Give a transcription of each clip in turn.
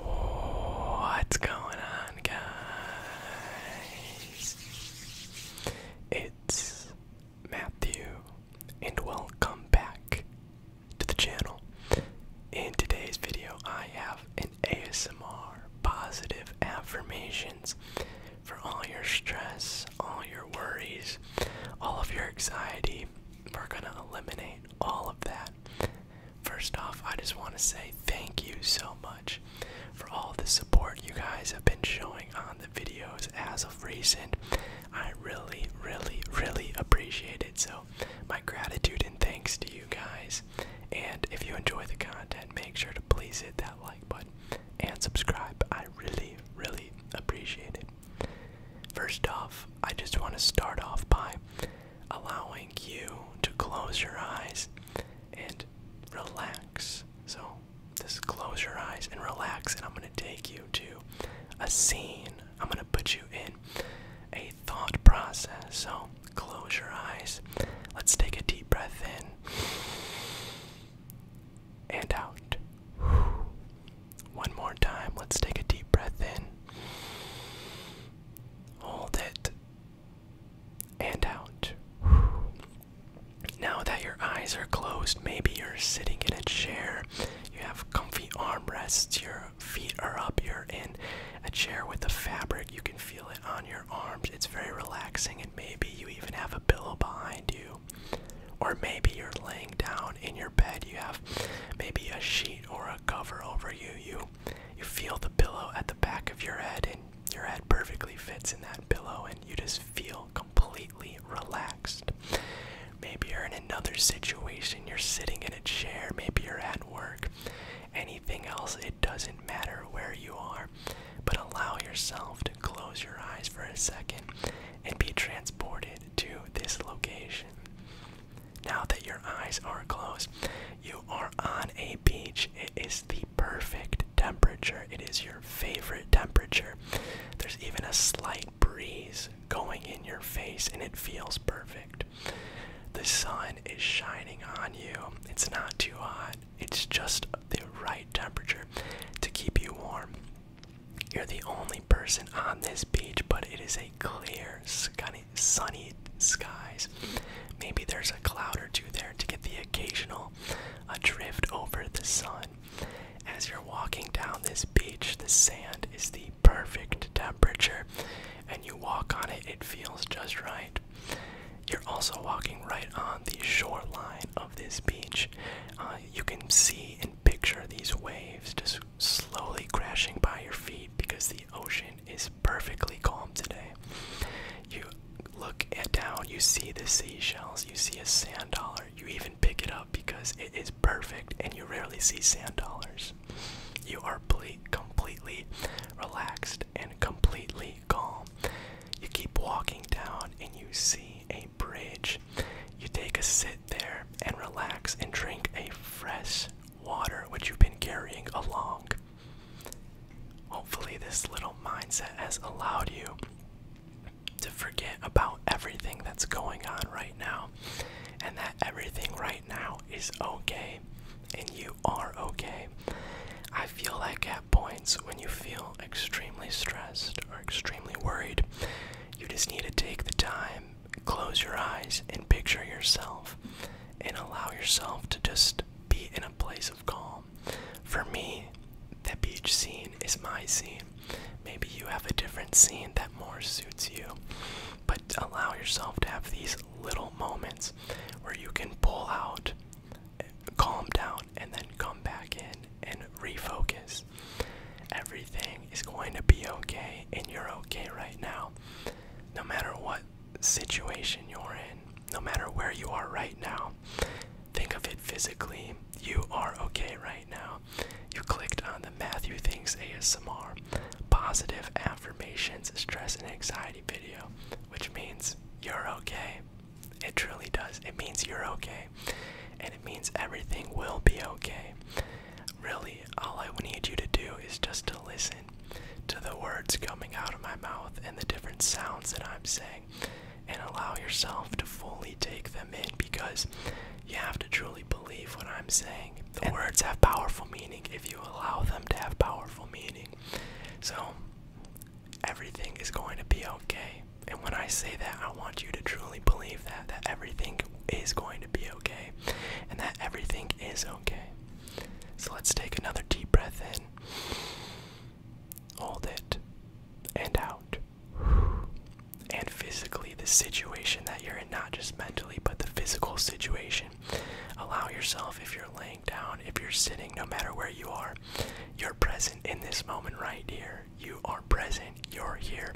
What's going on, guys? It's Matthew, and welcome back to the channel. In today's video, I have an ASMR positive affirmations for all your stress, all your worries, all of your anxiety. We're going to eliminate all of that First off, I just want to say thank you so much for all the support you guys have been showing on the videos as of recent. I really, really, really appreciate it. So, my gratitude and thanks to you guys. And if you enjoy the content, make sure to please hit that like button and subscribe. I really, really appreciate it. First off, I just want to start off by allowing you to close your eyes and relax. So just close your eyes and relax, and I'm going to take you to a scene. I'm going to put you in a thought process. So close your eyes. Let's take a deep breath in and out. One more time. Let's take a deep breath in Hold it. And out. Now that your eyes are closed, maybe you're sitting in a chair. You have comfy armrests, your feet are up, you're in a chair with the fabric. You can feel it on your arms. It's very relaxing, and maybe you even have a pillow behind you. Or maybe you're laying down in your bed. You have maybe a sheet or a cover over you. You you feel the pillow at the back of your head and your head perfectly fits in that pillow and you just feel completely relaxed. Maybe you're in another situation, you're sitting in a chair, maybe you're at work. Anything else, it doesn't matter where you are, but allow yourself to close your eyes for a second and be transported to this location. Now that your eyes are closed, you are on a beach. It is the perfect temperature. It is your favorite temperature. There's even a slight breeze going in your face, and it feels perfect. The sun is shining on you. It's not too hot, it's just the right temperature to keep you warm. You're the only person on this beach, but it is a clear, sunny, sunny skies. Maybe there's a cloud or two there to get the occasional uh, drift over the sun. As you're walking down this beach, the sand is the perfect temperature, and you walk on it, it feels just right. You're also walking right on the shoreline of this beach. Uh, you can see and picture these waves slowly crashing by your feet because the ocean is perfectly calm today. You look at down, you see the seashells, you see a sand dollar, you even pick it up because it is perfect and you rarely see sand dollars. You are completely relaxed and completely calm. You keep walking down and you see a bridge. You take a sit there and relax and drink a fresh water which you've been carrying along. Hopefully, this little mindset has allowed you to forget about everything that's going on right now and that everything right now is okay and you are okay. I feel like at points when you feel extremely stressed or extremely worried, you just need to take the time close your eyes and picture yourself and allow yourself to just be in a place of calm. For me, that beach scene is my scene. Maybe you have a different scene that more suits you, but allow yourself to have these little moments where you can pull out, calm down, and then come back in and refocus. Everything is going to be okay and you're okay right now. No matter what situation you're in, no matter where you are right now, think of it physically. You are okay right now. You clicked on the Matthew Things ASMR positive affirmations, stress, and anxiety video, which means you're okay. It truly does. It means you're okay. And it means everything will be okay. Really all I need you to do is just to listen to the words coming out of my mouth and the different sounds that I'm saying and allow yourself to fully take them in because you have to truly believe what I'm saying. The words have powerful meaning if you allow them to have powerful meaning. So, everything is going to be okay. And when I say that, I want you to truly believe that that everything is going to be okay and that everything is okay. So let's take another deep breath in. Hold it and out. And physically, the situation that you're in, not just mentally, but the physical situation. Allow yourself, if you're laying down, if you're sitting, no matter where you are, you're present in this moment right here. You are present, you're here,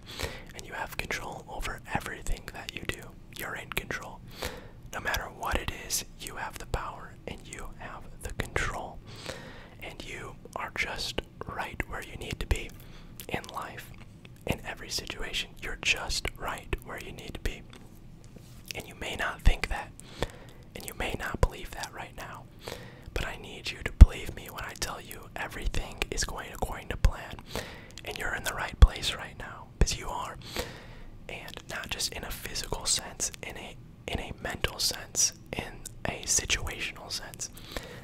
and you have control over everything that you do you're in control. No matter what it is, you have the power and you have the control. And you are just right where you need to be in life, in every situation. You're just right where you need to be. And you may not think that, and you may not believe that right now. But I need you to believe me when I tell you everything is going according to plan and you're in the right place right now because you are and not just in a physical sense in a in a mental sense in a situational sense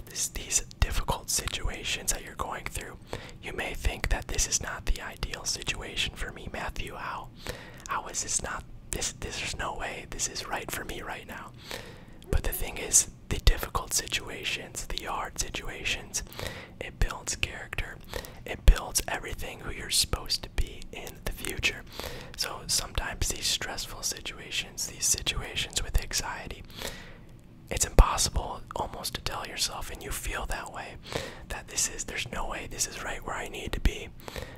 this these difficult situations that you're going through you may think that this is not the ideal situation for me matthew how how is this not this, this there's no way this is right for me right now but the thing is the difficult situations, the hard situations. It builds character. It builds everything who you're supposed to be in the future. So sometimes these stressful situations, these situations with anxiety, it's impossible almost to tell yourself and you feel that way that this is there's no way this is right where I need to be.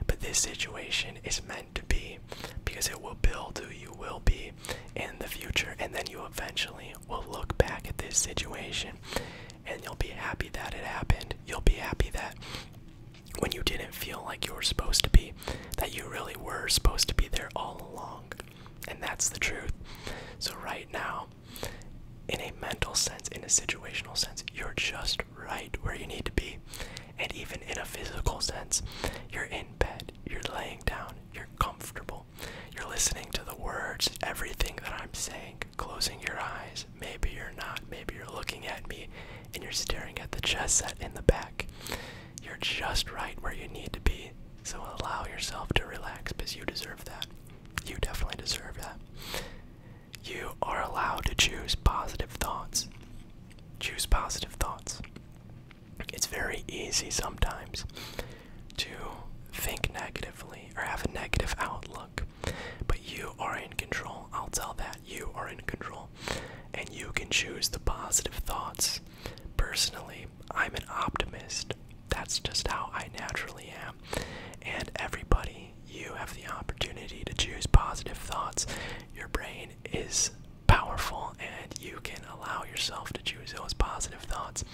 But this situation is meant to be because it will build who you will be in the future, and then you eventually will look back at this situation and you'll be happy that it happened. You'll be happy that when you didn't feel like you were supposed to be, that you really were supposed to be there all along. And that's the truth. So, right now, in a mental sense, in a situational sense, you're just right where you need to be. And even in a physical sense, you're in bed, you're laying down, you're comfortable. You're listening to the words, everything that I'm saying, closing your eyes. Maybe you're not. Maybe you're looking at me and you're staring at the chest set in the back. You're just right where you need to be. So allow yourself to relax because you deserve that. You definitely deserve that. You are allowed to choose positive thoughts. Choose positive thoughts it's very easy sometimes to think negatively or have a negative outlook, but you are in control. I'll tell that you are in control and you can choose the positive thoughts. Personally, I'm an optimist. That's just how I naturally am. And everybody, you have the opportunity to choose positive thoughts. Your brain is powerful and you can allow yourself to choose those positive thoughts.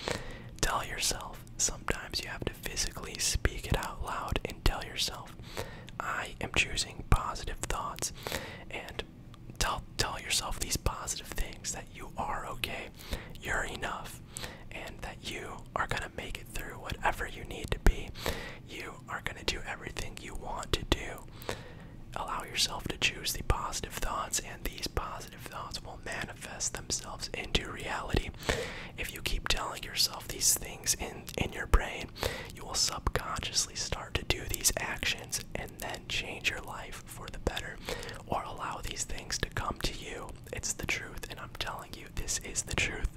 Tell yourself, sometimes you have to physically speak it out loud and tell yourself, I am choosing positive thoughts. And tell, tell yourself these positive things that you are okay, you're enough, and that you are going to make it through whatever you need to be. You are going to do everything you want to do. Allow yourself to choose the positive thoughts, and these positive thoughts will manifest themselves into reality. If you keep telling yourself these things in, in your brain, you will subconsciously start to do these actions and then change your life for the better or allow these things to come to you. It's the truth, and I'm telling you, this is the truth.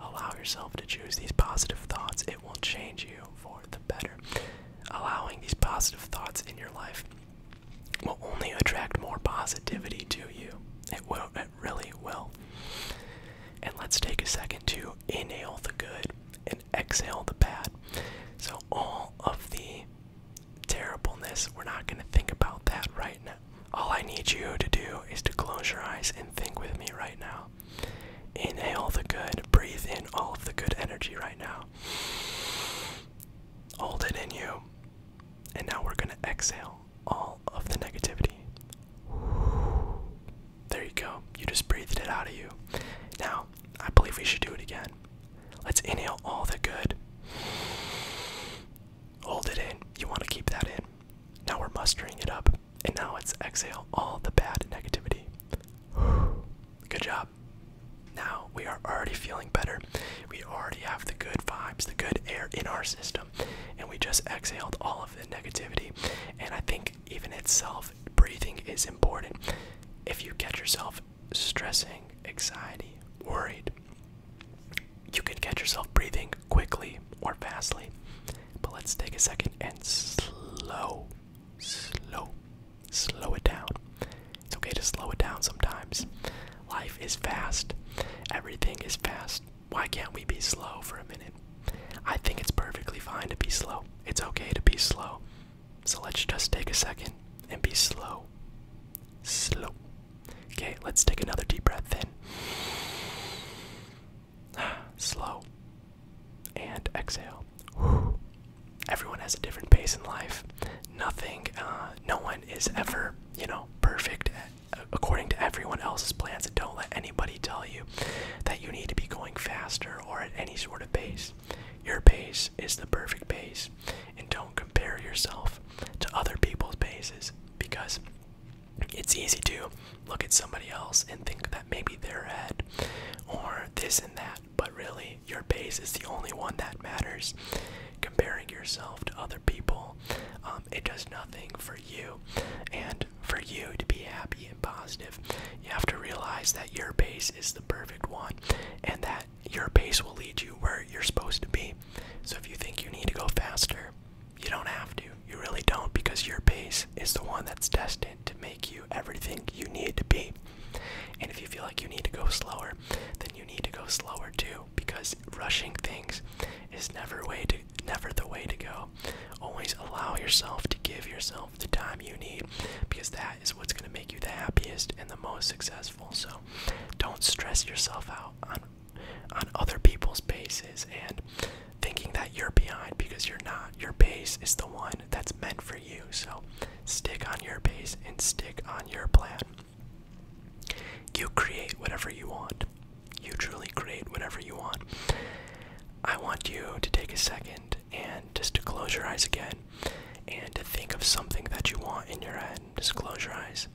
Allow yourself to choose these positive thoughts, it will change you for the better. Allowing these positive thoughts in your life will only attract more positivity to you. It will, it really will. And let's take a second to inhale the good and exhale the bad. So, all of the terribleness, we're not going to think about that right now. All I need you to do is to close your eyes and think with me right now. Inhale the good, breathe in all of the good energy right now hold it in you. And now we're going to exhale all of the negativity. There you go. You just breathed it out of you. Now, I believe we should do it again. Let's inhale all the good. Hold it in. You want to keep that in. Now we're mustering it up. And now let's exhale all the bad negativity. Good job. Now we are already feeling better. We already have the good vibes, the good air in our system, and we just exhaled all of the negativity. And I think, even itself, breathing is important. If you catch yourself stressing, anxiety, worried, you can catch yourself breathing quickly or fastly. But let's take a second and slow, slow, slow it down. It's okay to slow it down sometimes. Life is fast. Everything is fast. Why can't we be slow for a minute? I think it's perfectly fine to be slow. It's okay to be slow. So let's just take a second and be slow. Slow. Okay, let's take another deep breath in. slow. And exhale everyone has a different pace in life. Nothing, uh, no one is ever, you know, perfect according to everyone else's plans. don't let anybody tell you that you need to be going faster or at any sort of pace. Your pace is the perfect pace. And don't compare yourself to other people's paces because it's easy to look at somebody else and think that maybe they're ahead or this and that. But really, your pace is the only one that matters. Comparing yourself to other people, um, it does nothing for you. And for you to be happy and positive, you have to realize that your pace is the perfect one and that your pace will lead you where you're supposed to be. So if you think you need to go faster, you don't have to. You really don't because your pace is the one that's destined to make you everything you need to be. And if you feel like you need to go slower, then you need to go slower too, because rushing things is never the way to go. Always allow yourself to give yourself the time you need, because that is what's going to make you the happiest and the most successful. So, don't stress yourself out on on other people's paces and thinking that you're behind because you're not. Your pace is the one that's meant for you. So, stick on your base and stick on your plan. You create whatever you want. You truly create whatever you want. I want you to take a second and just to close your eyes again and to think of something that you want in your head. Just close your eyes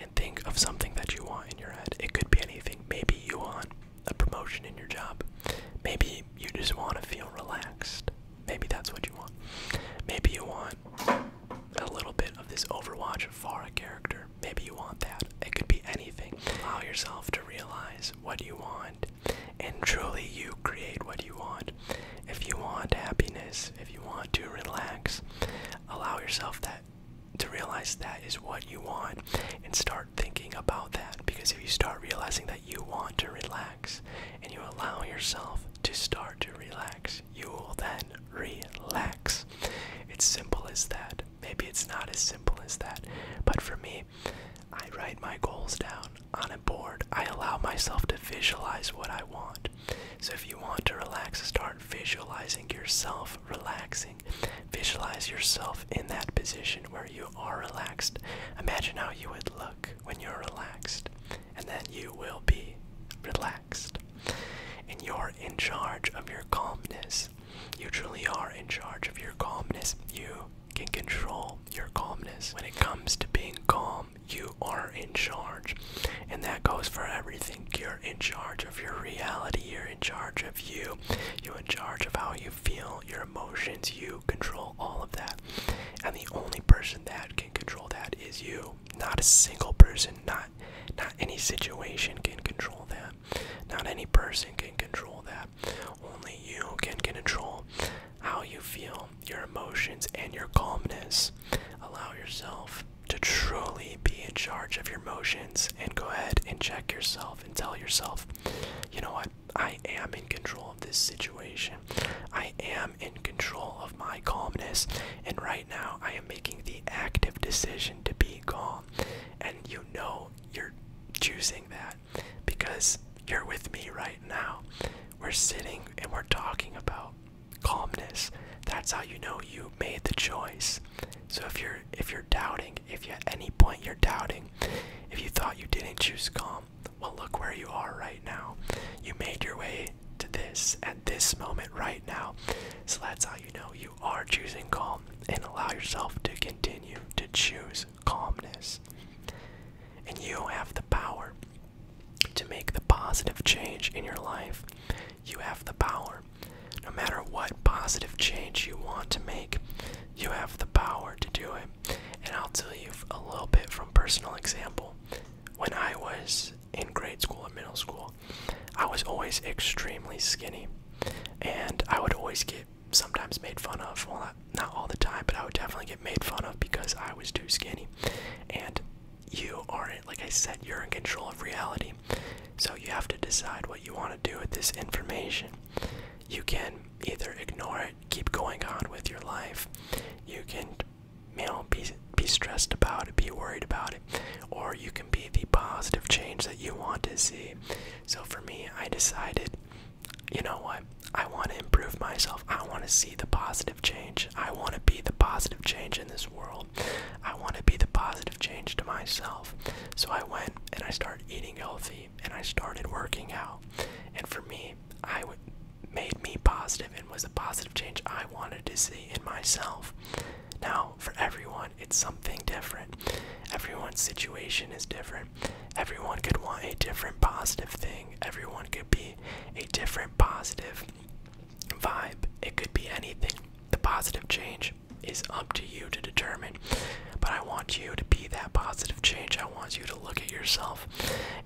and think of something that you want in your head. It could be anything. Maybe you want a promotion in your job. Maybe you just want to feel relaxed. Maybe that's what you want. Maybe you want a little bit of this Overwatch Farah character. Maybe you want that. It could be anything. Allow yourself to realize what you want, and truly you create what you want. If you want happiness, if you want to relax, allow yourself that to realize that is what you want and start thinking about that because if you start realizing that you want to relax and you allow yourself to start to relax, you will then relax. It's simple as that. Maybe it's not as simple as that, but for me, I write my goals down on a board. I allow myself to visualize what I want. So if you want to relax, start visualizing yourself relaxing. Visualize yourself in that position where you are relaxed. Imagine how you would look when you're relaxed, and then you will be relaxed. And you're in charge of your calmness. You truly are in charge of your calmness. You can control your calmness. When it comes to being calm, you are in charge. And that goes for everything. You're in charge of your reality. You're in charge of you. You're in charge of how you feel. You're emotions, you control all of that. And the only person that can control that is you. Not a single person, not not any situation can control that. Not any person can control that. Only you can control how you feel, your emotions, and your calmness. Allow yourself to truly be in charge of your emotions and go ahead and check yourself and tell yourself, you know what? I am in control of this situation. I am in control of my calmness. And right now, I am making the active decision to be calm. And you know you're choosing that because you're with me right now. We're sitting and we're talking about calmness. That's how you know you made the choice. So if you're if you're doubting, if you at any point you're doubting, if you thought you didn't choose calm, well, look where you are right now. You made your way to this at this moment right now. So that's how you know you are choosing calm and allow yourself to continue to choose calmness. And you have the power to make the positive change in your life. You have the power. No matter what positive change you want to make, you have the power to do it. And I'll tell you a little bit from personal example. When I was in grade school or middle school, I was always extremely skinny. And I would always get sometimes made fun of. Well, not, not all the time, but I would definitely get made fun of because I was too skinny. And you aren't, like I said, you're in control of reality. So you have to decide what you want to do with this information. You can either ignore it keep going on with your life. You can, you know, be be stressed about it, be worried about it, or you can be the positive change that you want to see. So for me, I decided, you know what? I want to improve myself. I want to see the positive change. I want to be the positive change in this world. I want to be the positive change to myself. So I went and I started eating healthy and I started working out. And for me, I would made me positive and was a positive change I wanted to see in myself. Now, for everyone, it's something different. Everyone's situation is different. Everyone could want a different positive thing. Everyone could be a different positive vibe. It could be anything. The positive change is up to you to determine. But I want you to be that positive change. I want you to look at yourself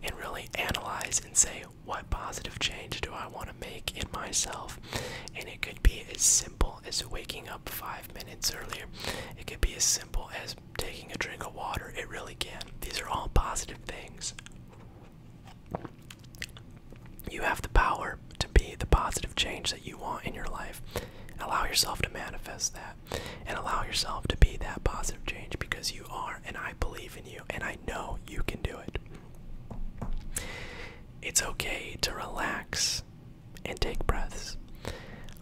and really analyze and say, what positive change do I want to make in myself? And it could be as simple as waking up five minutes earlier, it could be as simple as taking a drink of water. It really can. These are all positive things. You have the power to be the positive change that you want in your life. Allow yourself to manifest that and allow yourself to be that positive change because you are and I believe in you and I know you can do it. It's okay to relax and take breaths.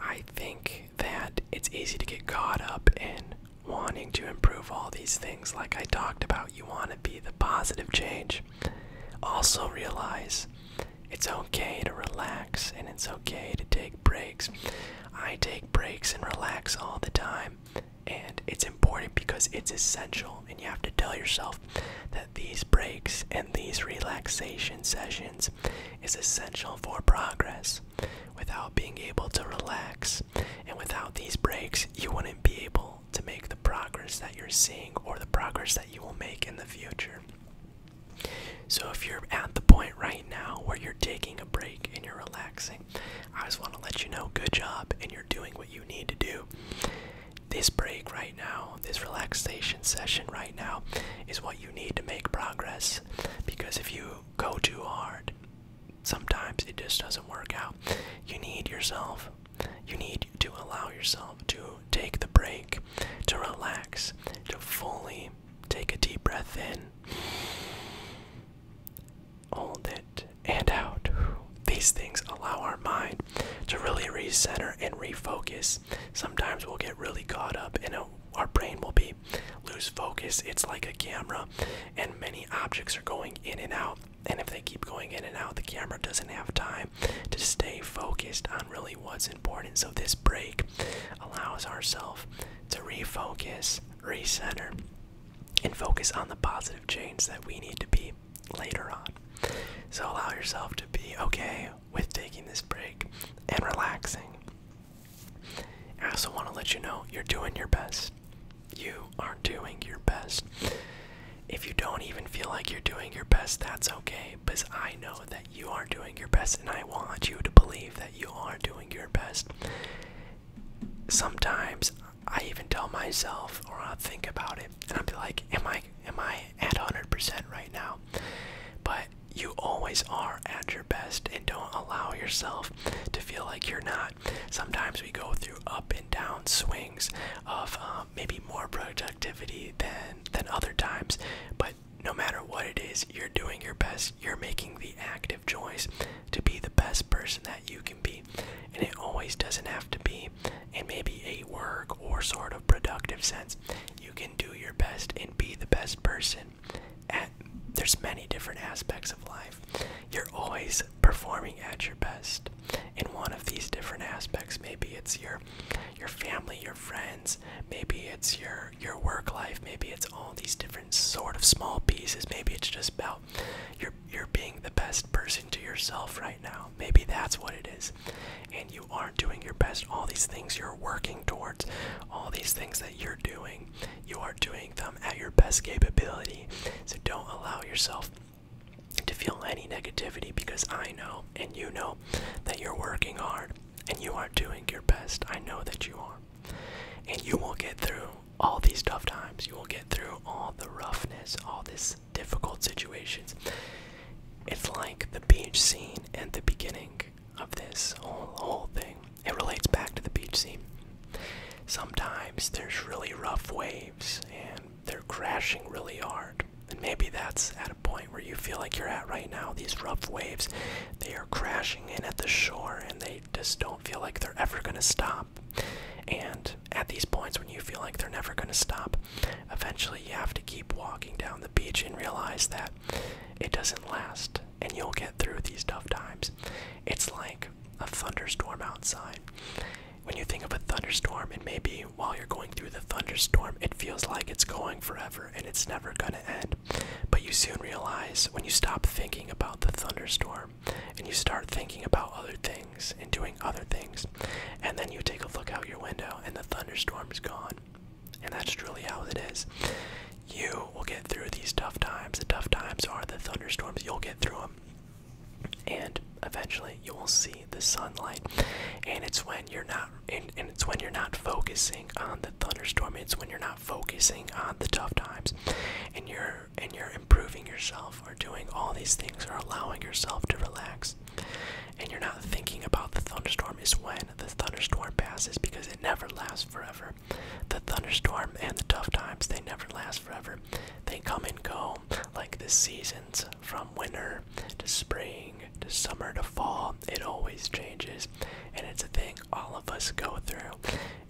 I think that it's easy to get caught up in wanting to improve all these things like I talked about. You want to be the positive change. Also realize it's okay to relax and it's okay okay to take breaks. I take breaks and relax all the time. And it's important because it's essential, and you have to tell yourself that these breaks and these relaxation sessions is essential for progress. Without being able to relax, and without these breaks, you wouldn't be able to make the progress that you're seeing or the progress that you will make in the future. So if you're at the point right now where you're taking a break and you're relaxing, I just want to let you know good job and you're doing what you need to do. This break right now, this relaxation session right now, is what you need to make progress because if you go too hard, sometimes it just doesn't work out. You need yourself, you need to allow yourself to take the break, to relax, to fully Take a deep breath in. Hold it and out. These things allow our mind to really recenter and refocus. Sometimes we'll get really caught up and our brain will be lose focus. It's like a camera and many objects are going in and out. And if they keep going in and out, the camera doesn't have time to stay focused on really what's important. So this break allows ourself to refocus, recenter, and focus on the positive change that we need to be later on. So allow yourself to be okay with taking this break and relaxing. I also want to let you know you're doing your best. You are doing your best. If you don't even feel like you're doing your best, that's okay, because I know that you are doing your best, and I want you to believe that you are doing your best. Sometimes I even tell myself or i think about it and i am like, Am I am I at 100% right now? But you always are at your best and don't allow yourself to feel like you're not. Sometimes we go through up and down swings of um, maybe more productivity than than other times, but no matter what it is, you're doing your best. You're making the active choice to be the best person that you can be. And it always doesn't have to be in maybe a work or sort of productive sense. You can do your best and be the best person at there's many different aspects of life. You're always performing at your best in one of these different aspects. Maybe it's your your family, your friends, maybe it's your your work life. Maybe it's all these different sort of small pieces. Maybe it's just about you're you're being the best person to yourself right now. Maybe that's what it is. And you aren't doing your best. All these things you're working towards, all these things that you're doing, you are doing them at your best capability. So don't allow yourself to feel any negativity because I know and you know that you're working hard and you are doing your best. I know that you are. And you will get through all these tough times. You will get through all the roughness, all these difficult situations. It's like the beach scene at the beginning of this whole, whole thing. It relates back to the beach scene. Sometimes there's really rough waves and they're crashing really hard. And maybe that's at a point where you feel like you're at right now. These rough waves, they are crashing in at the shore and they just don't feel like they're ever going to stop. And at these points when you feel like they're never going to stop, eventually you have to keep walking down the beach and realize that it doesn't last and you'll get through these tough times. It's like a thunderstorm outside. When you think of a thunderstorm, and maybe while you're going through the thunderstorm, it feels like it's going forever and it's never gonna end. But you soon realize when you stop thinking about the thunderstorm and you start thinking about other things and doing other things, and then you take a look out your window and the thunderstorm is gone. And that's truly how it is. You will get through these tough times. The tough times are the thunderstorms. You'll get through them. And eventually you will see the sunlight. And it's when you're not and, and it's when you're not focusing on the thunderstorm it's when you're not focusing on the tough times and you're and you're improving yourself or doing all these things or allowing yourself to relax and you're not thinking about the thunderstorm is when the thunderstorm passes because it never lasts forever the thunderstorm and the tough times they never last forever they come and go like the seasons from winter to spring to summer to fall it always changes and it's a thing all of us go through,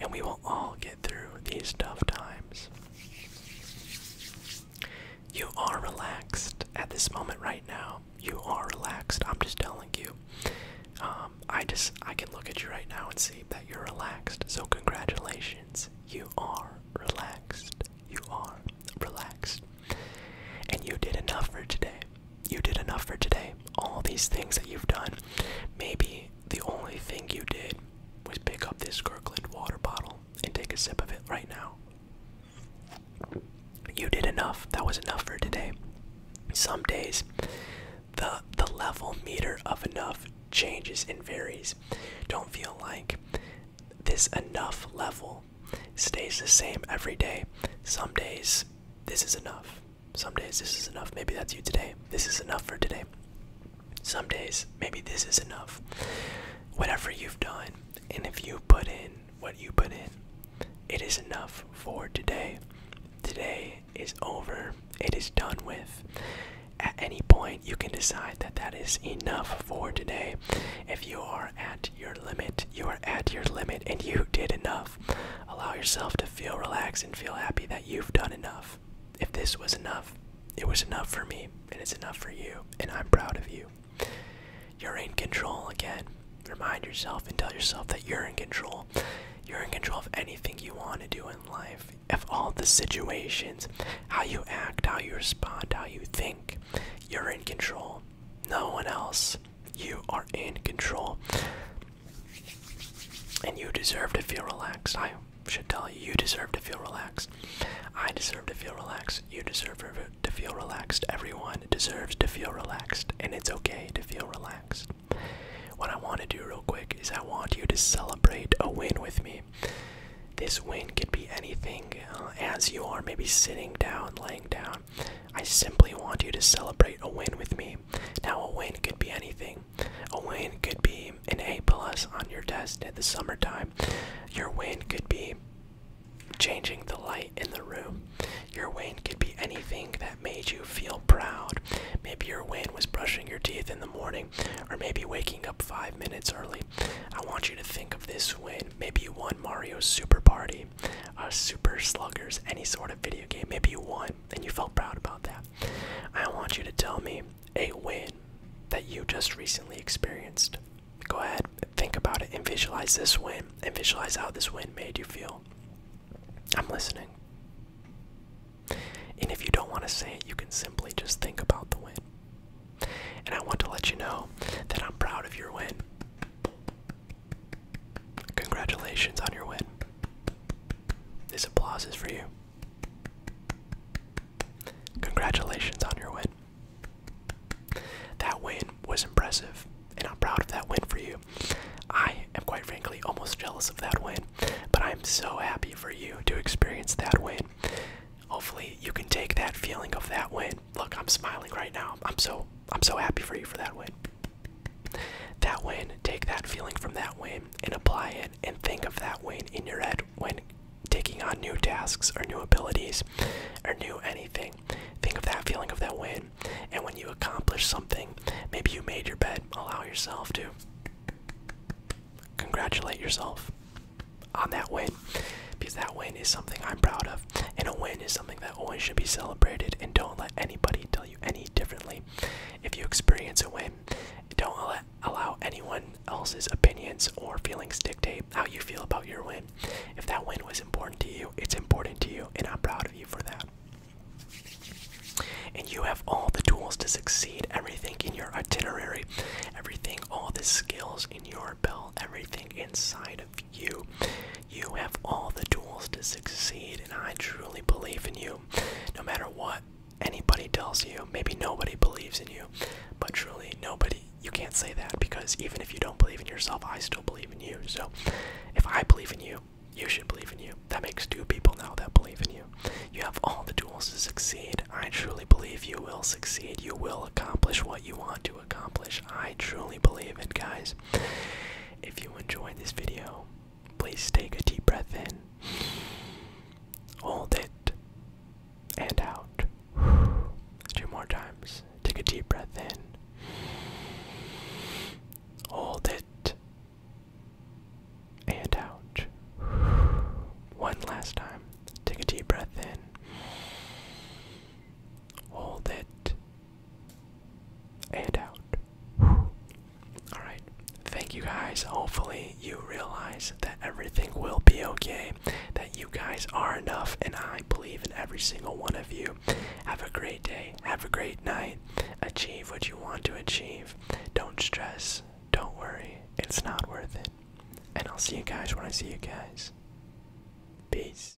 and we will all get through these tough times. You are relaxed at this moment right now. You are relaxed. I'm just telling you. Um, I just I can look at you right now and see that you're relaxed. So congratulations. You are relaxed. You are relaxed. And you did enough for today you did enough for today. All these things that you've done. Maybe the only thing you did was pick up this Kirkland water bottle and take a sip of it right now. You did enough. That was enough for today. Some days the the level meter of enough changes and varies. Don't feel like this enough level stays the same every day. Some days this is enough. Some days this is enough. Maybe that's you today. This is enough for today. Some days maybe this is enough. Whatever you've done, and if you put in what you put in, it is enough for today. Today is over. It is done with. At any point, you can decide that that is enough for today. If you are at your limit, you are at your limit, and you did enough. Allow yourself to feel relaxed and feel happy that you've done enough. If this was enough, it was enough for me, and it's enough for you, and I'm proud of you. You're in control again. Remind yourself and tell yourself that you're in control. You're in control of anything you want to do in life, of all the situations, how you act, how you respond, how you think. You're in control. No one else you are in control. And you deserve to feel relaxed. I should tell you, you deserve to feel relaxed. I deserve to feel relaxed. You deserve to feel relaxed. Everyone deserves to feel relaxed. And it's okay to feel relaxed. What I want to do real quick is I want you to celebrate a win with me. This win could be anything uh, as you are maybe sitting down, laying down, I simply want you to celebrate a win with me. Now, a win could be anything. A win could be an A plus on your test at the summertime. Your win could be changing the light in the room. Your win could be anything that made you feel proud. Maybe your win was brushing your teeth in the morning, or maybe waking up five minutes early. I want you to think of this win. Maybe you won Mario Super Party game, Super Sluggers, any sort of video game. Maybe you won and you felt proud about that. I want you to tell me a win that you just recently experienced. Go ahead, think about it, and visualize this win, and visualize how this win made you feel. I'm listening. And if you don't want to say it, you can simply just think about the win. And I want to let you know that I'm proud of your win. Congratulations on your win. This applause is for you. Congratulations on your win. That win was impressive, and I'm proud of that win for you. I am quite frankly almost jealous of that win, but I'm so happy for you to experience that win. Hopefully, you can take that feeling of that win. Look, I'm smiling right now. I'm so I'm so happy for you for that win. That win, take that feeling from that win and apply it and think of that win in your head when taking on new tasks or new abilities or new anything. Think of that feeling of that win and when you accomplish something, maybe you made your bed, allow yourself to congratulate yourself on that win because that win is something I'm proud of and a win is something that that always should be celebrated, and don't let anybody tell you any differently. If you experience a win, don't allow anyone else's opinions or feelings dictate how you feel about your win. If that win was important to you, it's important to you, and I'm proud of you for that. And you have all the tools to succeed, everything in your itinerary, everything, all the skills in your belt, everything inside of you you. You have all the tools to succeed, and I truly believe in you. No matter what anybody tells you, maybe nobody believes in you, but truly nobody, you can't say that because even if you don't believe in yourself, I still believe in you. So if I believe in you, you should believe in you. That makes two people now that believe in you. You have all the tools to succeed. I truly believe you will succeed. You will accomplish what you want to accomplish. I truly believe it, guys. If you enjoyed this video, please take a deep breath in, hold it, and out. Two more times. Take a deep breath in, hold it, and out. One last time. Take a deep breath in, hold it, and out. Alright, thank you guys. Hopefully, you realize that everything will be okay, that you guys are enough, and I believe in every single one of you. Have a great day, have a great night, achieve what you want to achieve. Don't stress, don't worry, it's not worth it. And I'll see you guys when I see you guys. Peace.